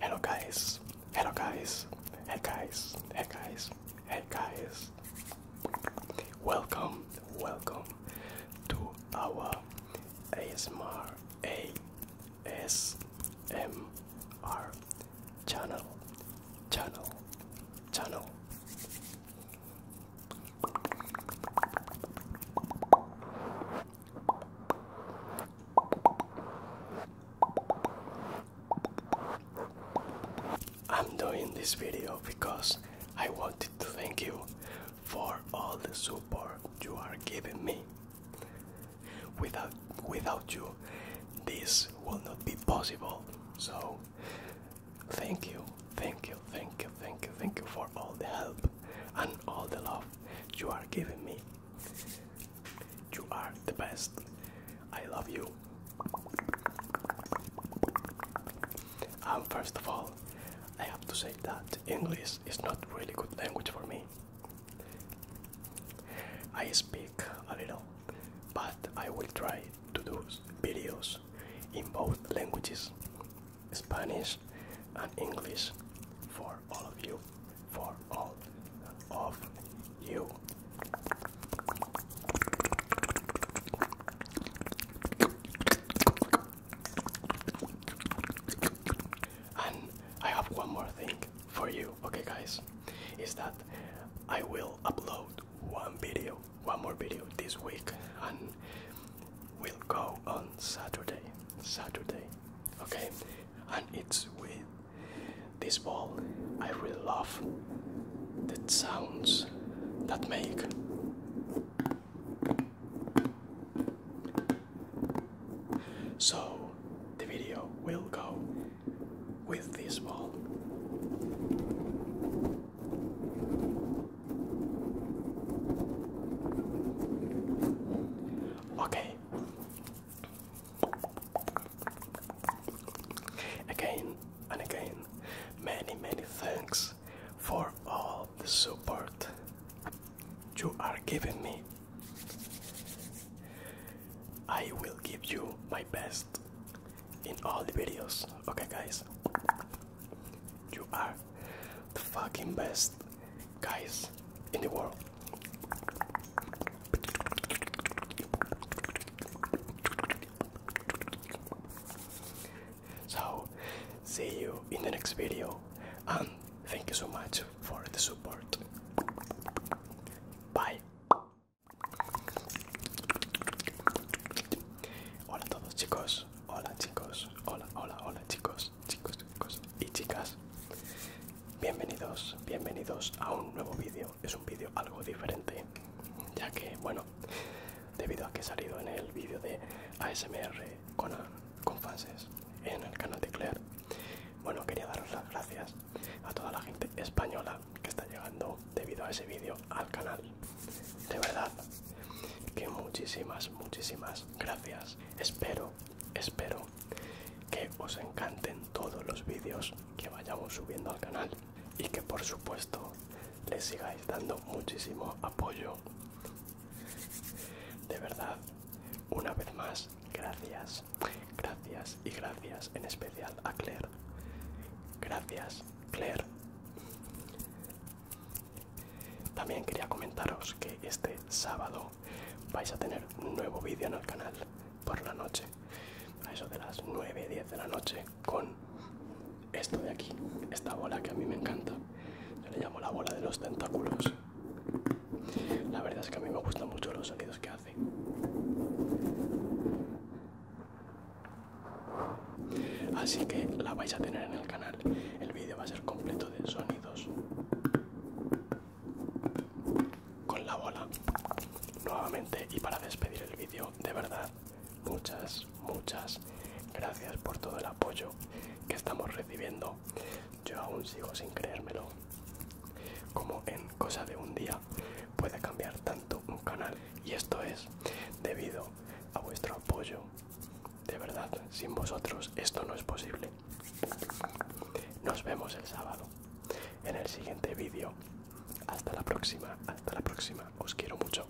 Hello guys, hello guys, hey guys, hey guys, hey guys. Welcome, welcome to our ASMR ASMR channel, channel, channel. I'm doing this video because I wanted to thank you for all the support you are giving me. Without without you, this will not be possible. So, thank you, thank you, thank you, thank you, thank you for all the help and all the love you are giving me. You are the best. I love you. And first of all, I have to say that English is not really good language for me. I speak a little, but I will try to do videos in both languages, Spanish and English, for all of you, for all of you. And I have one more thing for you, okay, guys, is that I will upload one video, one more video this week, and we will go on Saturday, Saturday, okay, and it's with this ball. I really love the sounds that make. So the video will go with this ball. Okay. Again and again, many, many thanks for all the support you are giving me I will give you my best in all the videos. Okay, guys, you are the fucking best guys in the world. So, see you in the next video and Thank you so much for the support. Bye. Hola a todos chicos, hola chicos, hola, hola, hola chicos, chicos, chicos y chicas. Bienvenidos, bienvenidos a un nuevo vídeo. Es un vídeo algo diferente, ya que, bueno, debido a que he salido en el vídeo de ASMR con, con fans en el canal de Claire, bueno, quería daros las gracias a toda la gente española que está llegando debido a ese vídeo al canal. De verdad, que muchísimas, muchísimas gracias. Espero, espero que os encanten todos los vídeos que vayamos subiendo al canal y que por supuesto les sigáis dando muchísimo apoyo. De verdad, una vez más, gracias, gracias, y gracias en especial a Claire. Gracias, Claire. También quería comentaros que este sábado vais a tener un nuevo vídeo en el canal por la noche, a eso de las 9, 10 de la noche, con esto de aquí, esta bola que a mí me encanta. Yo le llamo la bola de los tentáculos. La verdad es que a mí me gustan mucho los sonidos que hace. Así que la vais a tener en el canal. El vídeo va a ser completo de sonidos. Con la bola. Nuevamente y para despedir el vídeo, de verdad, muchas, muchas gracias por todo el apoyo que estamos recibiendo. Yo aún sigo sin creérmelo. Como en cosa de un día puede cambiar tanto un canal. Y esto es debido a vuestro apoyo. De verdad, sin vosotros esto no es posible. Nos vemos el sábado en el siguiente vídeo. Hasta la próxima, hasta la próxima. Os quiero mucho.